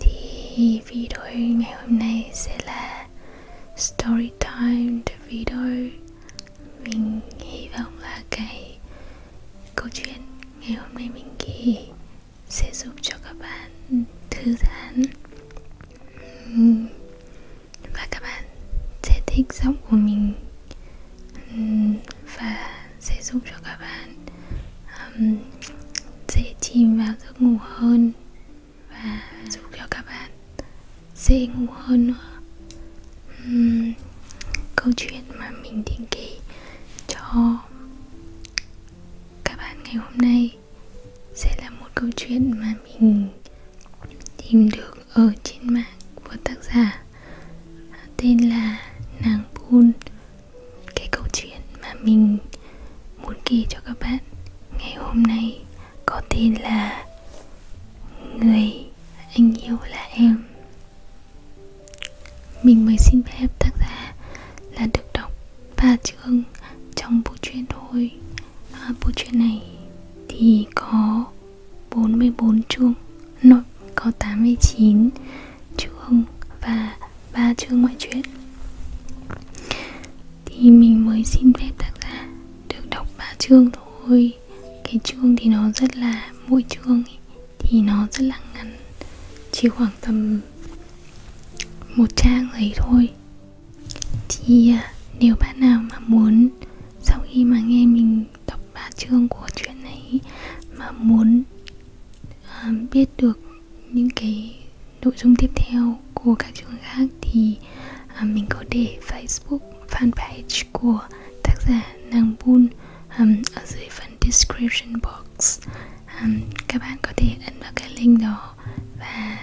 thì video ngày hôm nay sẽ là story time the video mình hy vọng là cái câu chuyện ngày hôm nay mình ghi sẽ giúp cho các bạn thư giãn và các bạn sẽ thích giọng của mình và sẽ giúp cho các bạn um, dễ chìm vào giấc ngủ hơn và giúp cho các bạn dễ ngủ hơn nữa uhm, câu chuyện mà mình định kỳ cho các bạn ngày hôm nay sẽ là một câu chuyện mà mình tìm được ở trên mạng của tác giả tên là nàng Bun cái câu chuyện mà mình muốn kể cho các bạn ngày hôm nay có tên là người anh yêu là em mình mới xin phép tác giả là được đọc ba chương trong bộ truyện thôi à, bộ truyện này thì có 44 chương nội có 89 chương và ba chương ngoại truyện thì mình mới xin phép tác giả được đọc ba chương thôi cái chương thì nó rất là mỗi chương thì nó rất là ngắn chỉ khoảng tầm một trang ấy thôi thì à, nếu bạn nào mà muốn sau khi mà nghe mình đọc ba chương của chuyện này mà muốn à, biết được những cái nội dung tiếp theo của các trường khác thì à, mình có để Facebook fanpage của tác giả Nàng Bun um, ở dưới phần description box um, các bạn có thể ấn vào cái link đó và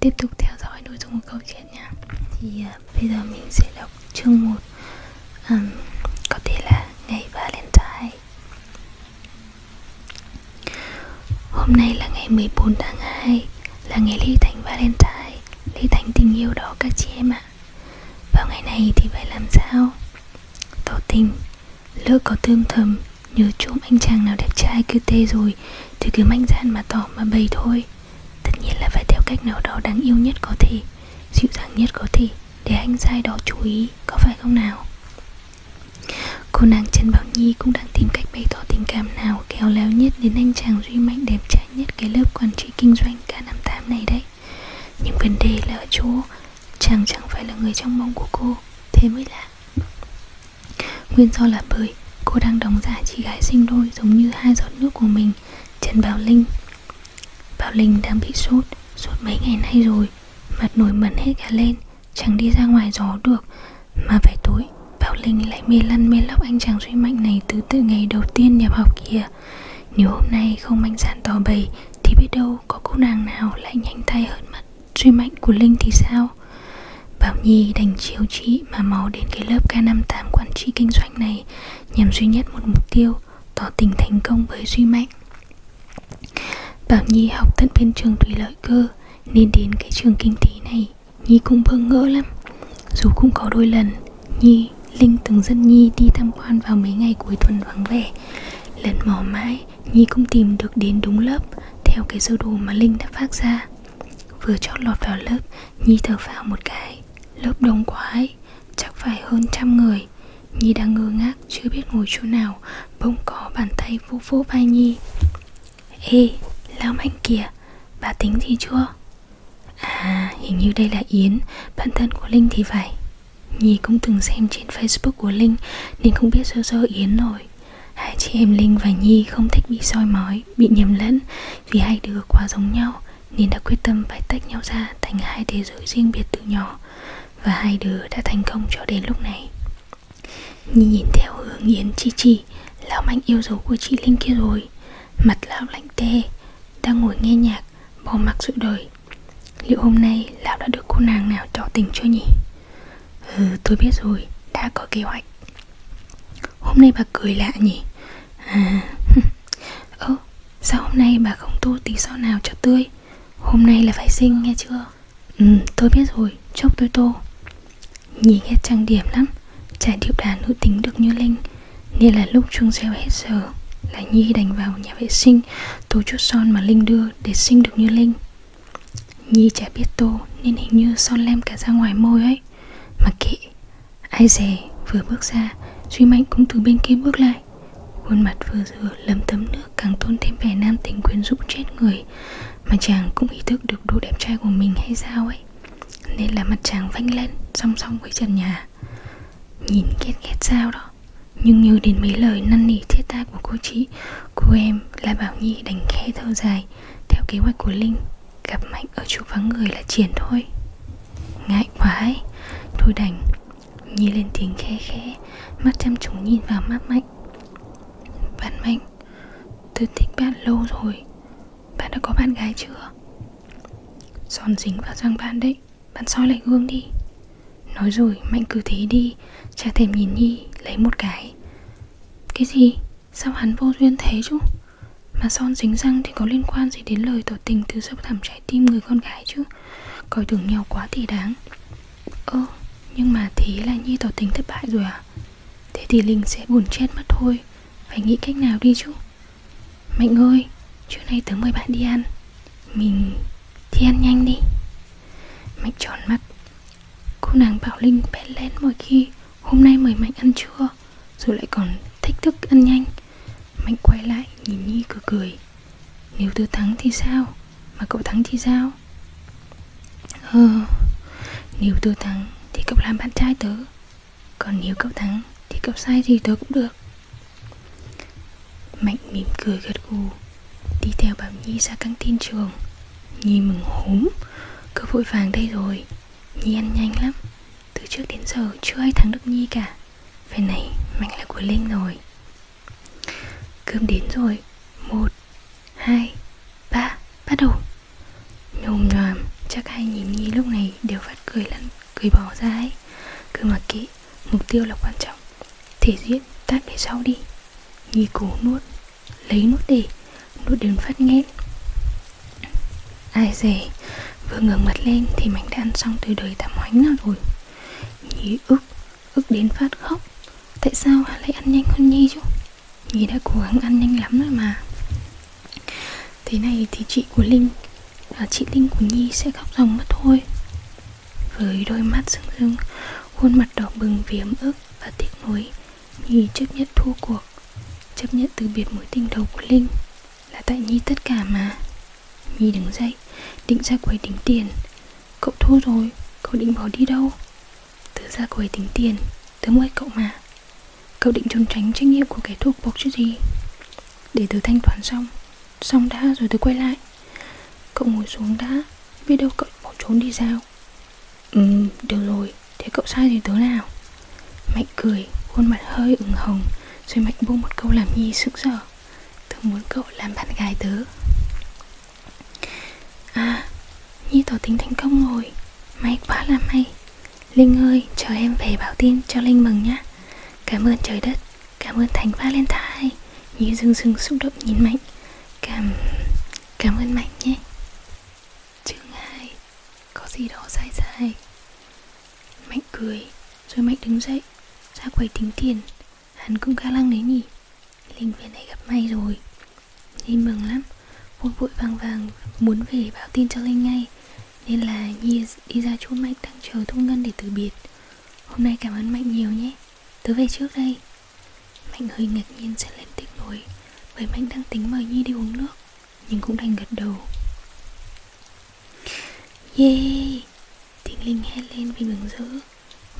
tiếp tục theo dõi nội dung của câu chuyện nha thì uh, bây giờ mình sẽ đọc chương 1 um, có thể là ngày Valentine Hôm nay là ngày 14 tháng 2 Là ngày ly thành Valentine Ly thành tình yêu đó các chị em ạ à. Vào ngày này thì phải làm sao Tỏ tình Lỡ có tương thầm Nhớ trộm anh chàng nào đẹp trai cứ tê rồi Thì cứ mạnh dạn mà tỏ mà bày thôi Tất nhiên là phải theo cách nào đó đáng yêu nhất có thể Dịu dàng nhất có thể Để anh trai đó chú ý Có phải không nào Cô nàng Trần Bảo Nhi cũng đang tìm cách bày tỏ tình cảm nào kéo léo nhất đến anh chàng duy mạnh đẹp trai nhất cái lớp quản trị kinh doanh K58 này đấy Nhưng vấn đề là ở chỗ chàng chẳng phải là người trong mong của cô, thế mới lạ Nguyên do là bởi cô đang đóng giả chị gái sinh đôi giống như hai giọt nước của mình, Trần Bảo Linh Bảo Linh đang bị sốt, sốt mấy ngày nay rồi, mặt nổi mẩn hết cả lên Chẳng đi ra ngoài gió được Mà phải tối Bảo Linh lại mê lăn mê lóc anh chàng suy mạnh này Từ từ ngày đầu tiên nhập học kia Nếu hôm nay không mạnh dạn tỏ bày Thì biết đâu có cô nàng nào lại nhanh tay hơn mất Suy mạnh của Linh thì sao Bảo Nhi đành chiếu trí mà máu đến cái lớp K58 quản trị kinh doanh này nhằm duy nhất một mục tiêu, tỏ tình thành công với Duy Mạnh. Bảo Nhi học tận bên trường thủy lợi cơ Nên đến cái trường kinh tế này Nhi cũng bơ ngỡ lắm Dù cũng có đôi lần Nhi, Linh từng dẫn Nhi đi tham quan vào mấy ngày cuối tuần vắng vẻ Lần mò mãi Nhi cũng tìm được đến đúng lớp Theo cái sơ đồ mà Linh đã phát ra Vừa chót lọt vào lớp Nhi thở phào một cái Lớp đông quá ấy Chắc phải hơn trăm người Nhi đang ngơ ngác chưa biết ngồi chỗ nào Bỗng có bàn tay vỗ vỗ vai Nhi Ê, lão mạnh kìa Bà tính gì chưa? À, hình như đây là Yến Bạn thân của Linh thì phải Nhi cũng từng xem trên Facebook của Linh Nên không biết sơ sơ Yến rồi Hai chị em Linh và Nhi không thích bị soi mói Bị nhầm lẫn Vì hai đứa quá giống nhau Nên đã quyết tâm phải tách nhau ra Thành hai thế giới riêng biệt từ nhỏ và hai đứa đã thành công cho đến lúc này Nhi nhìn theo hướng Yến Chi Chi Lão Mạnh yêu dấu của chị Linh kia rồi Mặt lão lạnh tê Đang ngồi nghe nhạc Bỏ mặc sự đời Liệu hôm nay lão đã được cô nàng nào tỏ tình chưa nhỉ Ừ tôi biết rồi Đã có kế hoạch Hôm nay bà cười lạ nhỉ À Ơ ờ, sao hôm nay bà không tô tí son nào cho tươi Hôm nay là phải sinh nghe chưa Ừ tôi biết rồi Chốc tôi tô Nhì ghét trang điểm lắm Trải điệu đà nữ tính được như Linh Nên là lúc chuông reo hết giờ Là Nhi đành vào nhà vệ sinh Tô chút son mà Linh đưa để sinh được như Linh Nhi chả biết tô Nên hình như son lem cả ra ngoài môi ấy Mà kệ Ai dè vừa bước ra Duy Mạnh cũng từ bên kia bước lại lại Khuôn mặt vừa dừa lấm tấm nước càng tôn thêm vẻ nam tính quyến rũ chết người Mà chàng cũng ý thức được độ đẹp trai của mình hay sao ấy Nên là mặt chàng vanh lên song song với trần nhà Nhìn ghét ghét sao đó Nhưng như đến mấy lời năn nỉ thiết tha của cô chị Cô em là Bảo Nhi đành khẽ thở dài Theo kế hoạch của Linh Gặp Mạnh ở chỗ vắng người là triển thôi Ngại quá ấy Thôi đành Nhi lên tiếng khẽ khẽ Mắt chăm chú nhìn vào mắt Mạnh Bạn Mạnh Tôi thích bạn lâu rồi Bạn đã có bạn gái chưa Giòn dính vào răng bạn đấy Bạn soi lại gương đi Nói rồi Mạnh cứ thế đi Chả thèm nhìn Nhi lấy một cái Cái gì Sao hắn vô duyên thế chứ Mà son dính răng thì có liên quan gì đến lời tỏ tình từ sâu thẳm trái tim người con gái chứ Coi thường nhau quá thì đáng Ơ nhưng mà thế là Nhi tỏ tình thất bại rồi à Thế thì Linh sẽ buồn chết mất thôi Phải nghĩ cách nào đi chứ Mạnh ơi Trưa nay tớ mời bạn đi ăn Mình thì ăn nhanh đi Mạnh tròn mắt Cô nàng bảo Linh bén lén mỗi khi Hôm nay mời Mạnh ăn trưa Rồi lại còn thích thức ăn nhanh Mạnh quay lại nhìn Nhi cười cười Nếu tớ thắng thì sao Mà cậu thắng thì sao Ờ Nếu tớ thắng thì cậu làm bạn trai tớ Còn nếu cậu thắng Thì cậu sai gì tớ cũng được Mạnh mỉm cười gật gù Đi theo bảo Nhi ra căng tin trường Nhi mừng húm Cậu vội vàng đây rồi Nhi ăn nhanh lắm Từ trước đến giờ chưa ai thắng được Nhi cả Vậy này, mạch là của Linh rồi Cơm đến rồi Một, hai, ba, bắt đầu Nhồm nhòm, chắc hai nhìn Nhi lúc này đều phát cười lăn, cười bỏ ra ấy Cứ mà kỹ, mục tiêu là quan trọng Thể diễn, tát để sau đi Nhi cố nuốt, lấy nuốt đi Nuốt đến phát nghẹn Ai dè, vừa ngẩng mặt lên thì mảnh đã ăn xong từ đời tạm hoánh nào rồi Nhi ức Ức đến phát khóc Tại sao lại ăn nhanh hơn Nhi chứ Nhi đã cố gắng ăn nhanh lắm rồi mà Thế này thì chị của Linh à, Chị Linh của Nhi sẽ khóc ròng mất thôi Với đôi mắt rưng rưng Khuôn mặt đỏ bừng vì ấm ức và tiếc nuối Nhi chấp nhận thua cuộc Chấp nhận từ biệt mối tình đầu của Linh là tại Nhi tất cả mà Nhi đứng dậy Định ra quầy tính tiền Cậu thua rồi Cậu định bỏ đi đâu Tớ ra quầy tính tiền Tớ mua cậu mà Cậu định trốn tránh trách nhiệm của kẻ thuộc bộc chứ gì Để tớ thanh toán xong Xong đã rồi tớ quay lại Cậu ngồi xuống đã Biết đâu cậu bỏ trốn đi sao Ừ được rồi Thế cậu sai thì tớ nào Mạnh cười Khuôn mặt hơi ửng hồng Rồi Mạnh buông một câu làm Nhi sững sờ Tớ muốn cậu làm bạn gái tớ À Nhi tỏ tính thành công rồi May quá là may Linh ơi chờ em về báo tin cho Linh mừng nhá Cảm ơn trời đất Cảm ơn Thánh Valentine Nhi dưng dưng xúc động nhìn Mạnh Cảm... cảm ơn Mạnh nhé Chương 2 Có gì đó sai sai Mạnh cười Rồi Mạnh đứng dậy Ra quầy tính tiền Hắn cũng khá lăng đấy nhỉ Linh về này gặp may rồi Linh mừng lắm Vội vội vàng vàng muốn về báo tin cho Linh ngay Nên là Nhi đi ra chỗ Mạnh đang chờ Thu Ngân để từ biệt Hôm nay cảm ơn Mạnh nhiều nhé Tớ về trước đây Mạnh hơi ngạc nhiên sẽ lên tiếng nổi Bởi Mạnh đang tính mời Nhi đi uống nước Nhưng cũng đành gật đầu Yeah Thính Linh hét lên vì mừng rỡ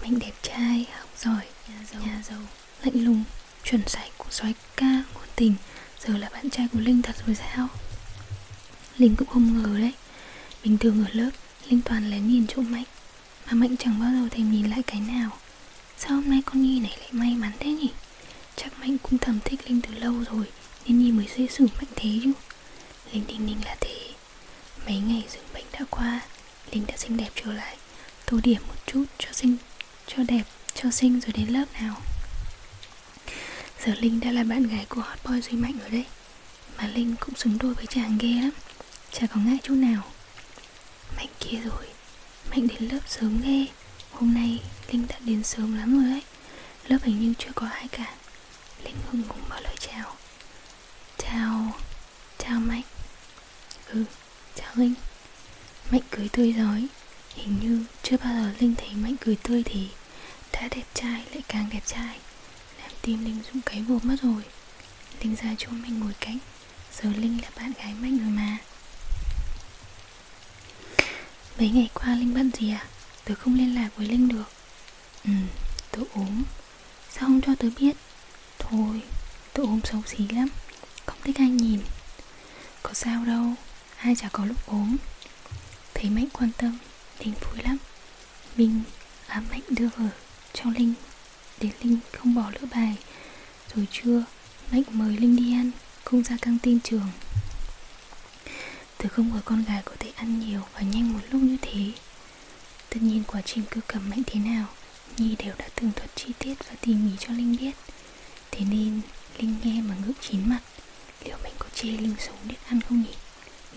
Mạnh đẹp trai, học giỏi, nhà giàu, nhà giàu lạnh lùng, chuẩn sạch của soái ca, ngôn tình Giờ là bạn trai của Linh thật rồi sao Linh cũng không ngờ đấy Bình thường ở lớp, Linh toàn lén nhìn chỗ Mạnh Mà Mạnh chẳng bao giờ thèm nhìn lại cái nào Sao hôm nay con Nhi này lại may mắn thế nhỉ Chắc Mạnh cũng thầm thích Linh từ lâu rồi Nên Nhi mới dễ xử Mạnh thế chứ Linh Đinh Ninh là thế Mấy ngày dưỡng bệnh đã qua Linh đã xinh đẹp trở lại Tô điểm một chút cho xinh Cho đẹp, cho xinh rồi đến lớp nào Giờ Linh đã là bạn gái của hot boy Duy Mạnh rồi đấy Mà Linh cũng xứng đôi với chàng ghê lắm Chả có ngại chút nào Mạnh kia rồi Mạnh đến lớp sớm ghê Hôm nay Linh đã đến sớm lắm rồi đấy Lớp hình như chưa có ai cả Linh Hưng cũng mở lời chào Chào Chào Mạnh Ừ Chào Linh Mạnh cười tươi rói Hình như chưa bao giờ Linh thấy Mạnh cười tươi thì Đã đẹp trai lại càng đẹp trai Làm tim Linh rung cấy vụt mất rồi Linh ra chỗ Mạnh ngồi cạnh Giờ Linh là bạn gái Mạnh rồi mà Mấy ngày qua Linh bận gì à? Tớ không liên lạc với Linh được Ừ, tớ ốm Sao không cho tớ biết? Thôi, tớ ốm xấu xí lắm Không thích ai nhìn Có sao đâu, ai chả có lúc ốm Thấy Mạnh quan tâm, Linh vui lắm Mình ám à, Mạnh đưa vở cho Linh Để Linh không bỏ lỡ bài Rồi trưa, Mạnh mời Linh đi ăn Cùng ra căng tin trường Tớ không ngờ con gái có thể ăn nhiều và nhanh một lúc như thế Tất nhiên quá trình cưa cầm mạnh thế nào Nhi đều đã tường thuật chi tiết và tỉ mỉ cho Linh biết Thế nên Linh nghe mà ngước chín mặt Liệu mình có chê Linh sống biết ăn không nhỉ?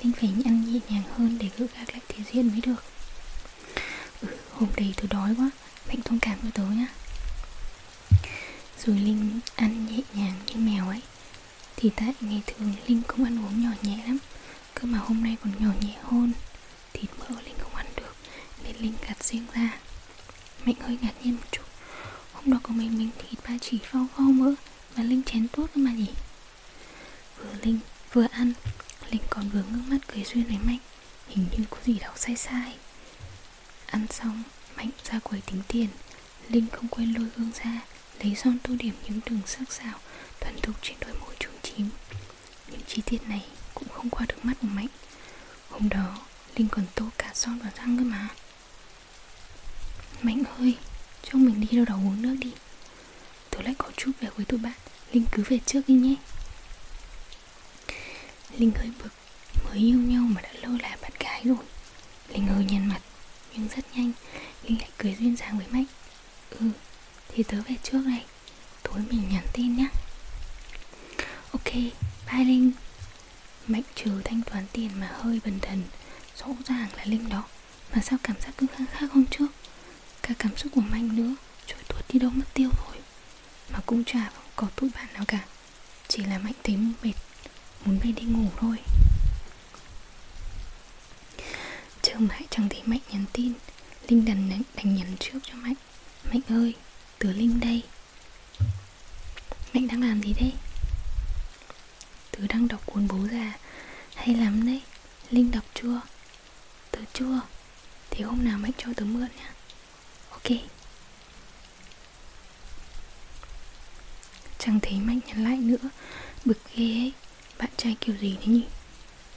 Linh phải ăn nhẹ nhàng hơn để gỡ gạc lại thế diện mới được Ừ, hôm đấy tớ đói quá Mạnh thông cảm cho tớ nhá Rồi Linh ăn nhẹ nhàng như mèo ấy thì tại ngày thường Linh cũng ăn uống nhỏ nhẹ lắm Cơ mà hôm nay còn nhỏ nhẹ hơn Thịt mỡ Linh không ăn được Nên Linh gạt riêng ra Mạnh hơi ngạc nhiên một chút Hôm đó có mấy miếng thịt ba chỉ phao phao mỡ Mà Linh chén tốt mà nhỉ Vừa Linh vừa ăn Linh còn vừa ngước mắt cười duyên với Mạnh Hình như có gì đó sai sai Ăn xong Mạnh ra quầy tính tiền Linh không quên lôi gương ra Lấy son tô điểm những đường sắc sảo Thuần thục trên đôi môi trúng chím Những chi tiết này cũng không qua được mắt của Mạnh Hôm đó Linh còn tô cả son và răng cơ mà Mạnh ơi Cho mình đi đâu đó uống nước đi Tớ lại có chút về với tụi bạn Linh cứ về trước đi nhé Linh hơi bực Mới yêu nhau mà đã lơ là bạn gái rồi Linh hơi nhăn mặt Nhưng rất nhanh Linh lại cười duyên dáng với Mạnh Ừ Thì tớ về trước này Tối mình nhắn tin nhé Ok Bye Linh Mạnh trừ thanh toán tiền mà hơi bần thần Rõ ràng là Linh đó Mà sao cảm giác cứ khác khác hôm trước Cả cảm xúc của Mạnh nữa Trôi tuột đi đâu mất tiêu rồi Mà cũng chả có tụi bạn nào cả chỉ là Mạnh thấy mệt Muốn về đi ngủ thôi Chờ mãi chẳng thấy Mạnh nhắn tin Linh đành đánh nhắn trước cho Mạnh Mạnh ơi, tớ Linh đây Mạnh đang làm gì đấy? Tớ đang đọc cuốn bố già Hay lắm đấy Linh đọc chưa? Tớ chưa Thế hôm nào Mạnh cho tớ mượn nhá Ok Chẳng thấy Mạnh nhắn lại nữa Bực ghê ấy Bạn trai kiểu gì thế nhỉ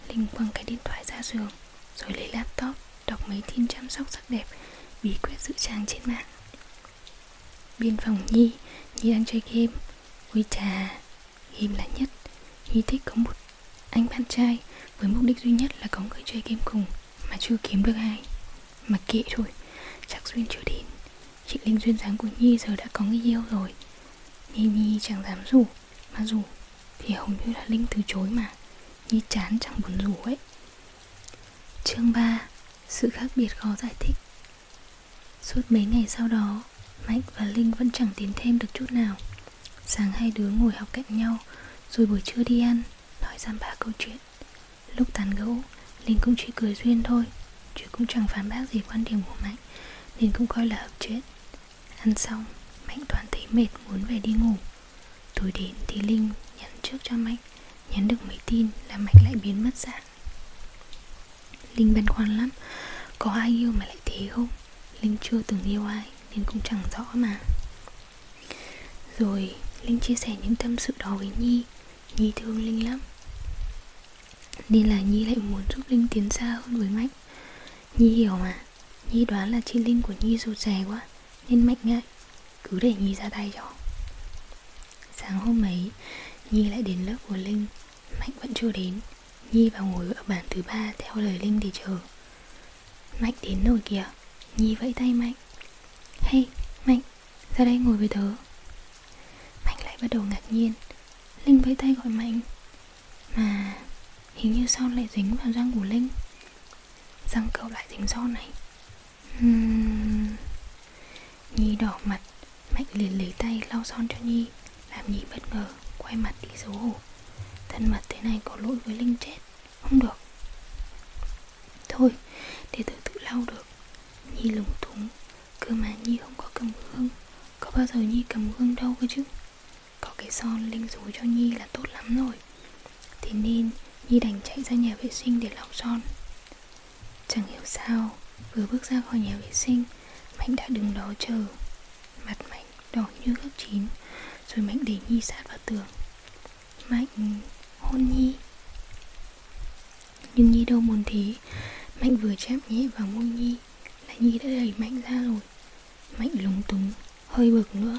Linh quăng cái điện thoại ra giường Rồi lấy laptop Đọc mấy tin chăm sóc sắc đẹp Bí quyết dự trang trên mạng Biên phòng Nhi Nhi đang chơi game Ôi trà Game là nhất Nhi thích có một anh bạn trai Với mục đích duy nhất là có người chơi game cùng mà chưa kiếm được ai Mà kệ thôi Chắc Duyên chưa đến Chị Linh duyên dáng của Nhi giờ đã có người yêu rồi Nhi Nhi chẳng dám rủ Mà rủ thì hầu như là Linh từ chối mà Nhi chán chẳng buồn rủ ấy Chương 3 Sự khác biệt khó giải thích Suốt mấy ngày sau đó Mạnh và Linh vẫn chẳng tiến thêm được chút nào Sáng hai đứa ngồi học cạnh nhau Rồi buổi trưa đi ăn Nói giam ba câu chuyện Lúc tán gẫu, Linh cũng chỉ cười duyên thôi Chứ cũng chẳng phán bác gì quan điểm của Mạnh Nên cũng coi là hợp chết Ăn xong, Mạnh toàn thấy mệt muốn về đi ngủ Tối đến thì Linh nhắn trước cho Mạnh Nhắn được mấy tin là Mạnh lại biến mất dạng Linh băn khoăn lắm Có ai yêu mà lại thế không? Linh chưa từng yêu ai nên cũng chẳng rõ mà rồi Linh chia sẻ những tâm sự đó với Nhi Nhi thương Linh lắm Nên là Nhi lại muốn giúp Linh tiến xa hơn với Mạnh Nhi hiểu mà Nhi đoán là chị Linh của Nhi rụt rè quá Nên Mạnh ngại Cứ để Nhi ra tay cho Sáng hôm ấy Nhi lại đến lớp của Linh Mạnh vẫn chưa đến Nhi vào ngồi ở bảng thứ ba theo lời Linh để chờ Mạnh đến rồi kìa Nhi vẫy tay Mạnh Hey Mạnh ra đây ngồi với tớ Mạnh lại bắt đầu ngạc nhiên Linh vẫy tay gọi Mạnh Mà hình như son lại dính vào răng của Linh Răng cậu lại dính son này hmm. Nhi đỏ mặt Mạnh liền lấy tay lau son cho Nhi Làm Nhi bất ngờ Quay mặt đi xấu hổ Thân mật thế này có lỗi với Linh chết Không được Thôi, để tớ tự lau được Nhi lúng túng Cơ mà Nhi không có cầm gương Có bao giờ Nhi cầm gương đâu cơ chứ Có cái son linh rối cho Nhi là tốt lắm rồi Thế nên Nhi đành chạy ra nhà vệ sinh để lau son Chẳng hiểu sao Vừa bước ra khỏi nhà vệ sinh Mạnh đã đứng đó chờ Mặt Mạnh đỏ như gấp chín Rồi Mạnh để Nhi sát vào tường Mạnh hôn Nhi Nhưng Nhi đâu muốn thế Mạnh vừa chạm nhẹ vào môi Nhi Là Nhi đã đẩy Mạnh ra rồi Mạnh lúng túng Hơi bực nữa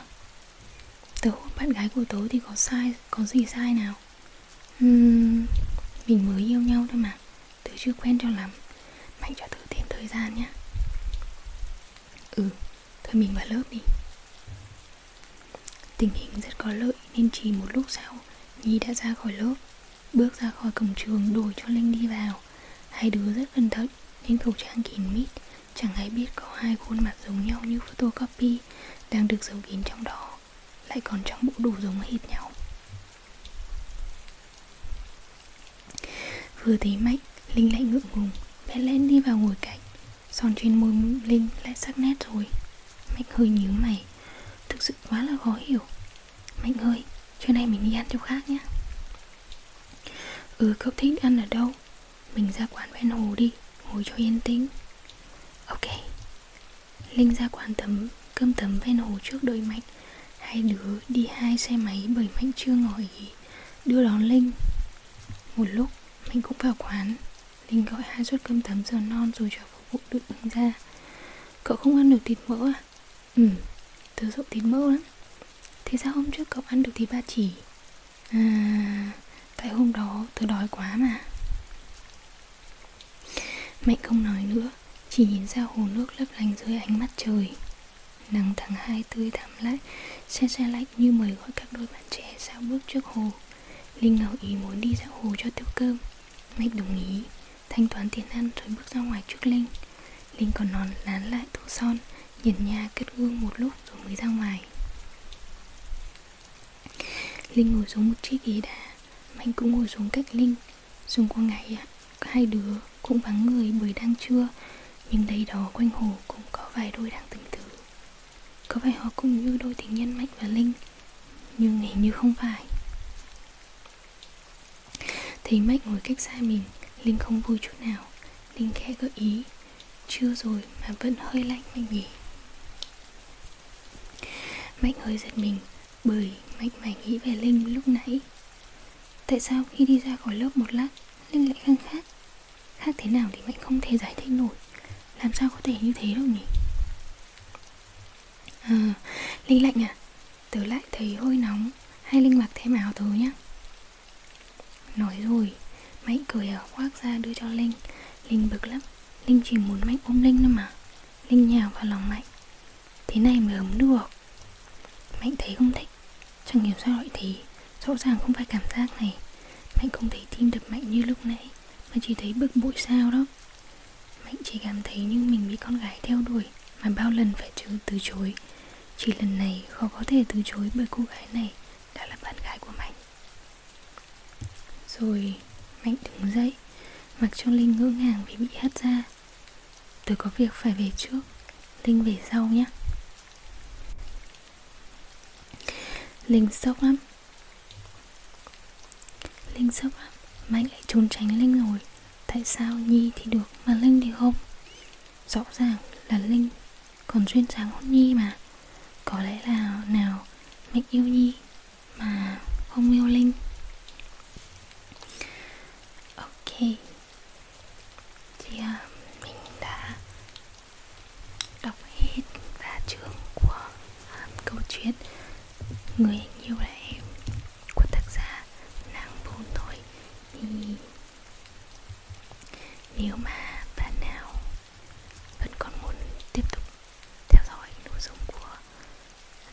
Tớ hôn bạn gái của tớ thì có sai Có gì sai nào uhm, Mình mới yêu nhau thôi mà Tớ chưa quen cho lắm Mạnh cho tớ thêm thời gian nhé Ừ Thôi mình vào lớp đi Tình hình rất có lợi nên chỉ một lúc sau Nhi đã ra khỏi lớp Bước ra khỏi cổng trường đuổi cho Linh đi vào Hai đứa rất cẩn thận nên khẩu trang kín mít Chẳng ai biết có hai khuôn mặt giống nhau như photocopy Đang được giấu kín trong đó Lại còn trong bộ đồ giống hệt nhau Vừa thấy mạnh Linh lại ngượng ngùng Bé lên đi vào ngồi cạnh Son trên môi Linh lại sắc nét rồi Mạnh hơi nhíu mày Thực sự quá là khó hiểu Mạnh ơi, trưa nay mình đi ăn chỗ khác nhé Ừ, cậu thích ăn ở đâu? Mình ra quán ven hồ đi Ngồi cho yên tĩnh Ok Linh ra quán tấm cơm tấm ven hồ trước đôi Mạnh Hai đứa đi hai xe máy bởi Mạnh chưa ngỏ ý Đưa đón Linh Một lúc mình cũng vào quán Linh gọi hai suất cơm tấm giờ non rồi cho phục vụ đựng bưng ra Cậu không ăn được thịt mỡ à? Ừ, tớ sợ thịt mỡ lắm Thế sao hôm trước cậu ăn được thịt ba chỉ? À, tại hôm đó tớ đói quá mà Mạnh không nói nữa Chỉ nhìn ra hồ nước lấp lánh dưới ánh mắt trời Nắng tháng hai tươi thắm lại Xe xe lạnh như mời gọi các đôi bạn trẻ dạo bước trước hồ Linh ngầu ý muốn đi dạo hồ cho tiêu cơm Mách đồng ý Thanh toán tiền ăn rồi bước ra ngoài trước Linh Linh còn nón lán lại tô son Nhìn nhà kết gương một lúc rồi mới ra ngoài Linh ngồi xuống một chiếc ghế đá Mạnh cũng ngồi xuống cách Linh Dùng qua ngày ạ Hai đứa cũng vắng người bởi đang trưa Nhưng đây đó quanh hồ cũng có vài đôi đang tình tứ có phải họ cũng như đôi tình nhân Mạnh và Linh Nhưng hình như không phải Thấy Mạnh ngồi cách xa mình Linh không vui chút nào Linh khẽ gợi ý Chưa rồi mà vẫn hơi lạnh Mạnh nhỉ Mạnh hơi giật mình Bởi Mạnh mải nghĩ về Linh lúc nãy Tại sao khi đi ra khỏi lớp một lát Linh lại khăng khát Khác thế nào thì Mạnh không thể giải thích nổi Làm sao có thể như thế được nhỉ À, Linh lạnh à Tớ lại thấy hơi nóng Hay Linh mặc thêm áo tớ nhé Nói rồi Mạnh cười ở à, khoác ra đưa cho Linh Linh bực lắm Linh chỉ muốn Mạnh ôm Linh thôi mà Linh nhào vào lòng Mạnh Thế này mới ấm được Mạnh thấy không thích vậy Trong nghiệp sao gọi thì Rõ ràng không phải cảm giác này Mạnh không thấy tim đập mạnh như lúc nãy Mà chỉ thấy bực bội sao đó Mạnh chỉ cảm thấy như mình bị con gái theo đuổi Mà bao lần phải chứ từ chối Chỉ lần này khó có thể từ chối bởi cô gái này Đã là bạn gái của Mạnh Rồi Mạnh đứng dậy Mặc cho Linh ngỡ ngàng vì bị hắt ra Tôi có việc phải về trước Linh về sau nhé Linh sốc lắm Linh sốc lắm Mạnh lại trốn tránh Linh rồi Tại sao Nhi thì được mà Linh thì không Rõ ràng là Linh Còn duyên dáng hôn Nhi mà Có lẽ là nào Mạnh yêu Nhi Mà không yêu Linh Ok thì uh, mình đã đọc hết ba chương của uh, câu chuyện người nhiều là em của tác giả nàng bồn thôi thì nếu mà bạn nào vẫn còn muốn tiếp tục theo dõi nội dung của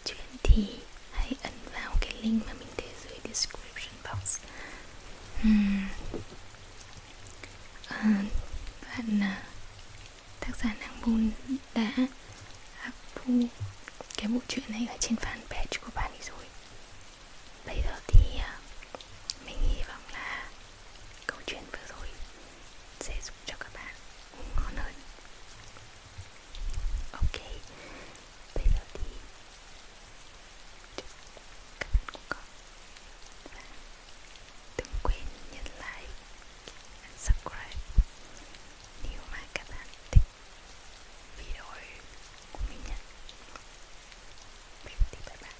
chuyện thì hãy ấn vào cái link mà mình để dưới description box uhm à, bạn à, tác giả Nàng Bôn đã up thu cái bộ truyện này ở trên fanpage của bạn ấy rồi Bây giờ thì à, mình hy vọng là câu chuyện vừa rồi sẽ giúp cho các bạn ngủ ngon hơn Ok, bây giờ thì các bạn cũng có và đừng quên nhấn like and subscribe nếu mà các bạn thích video của mình nhé Vậy thì bye bye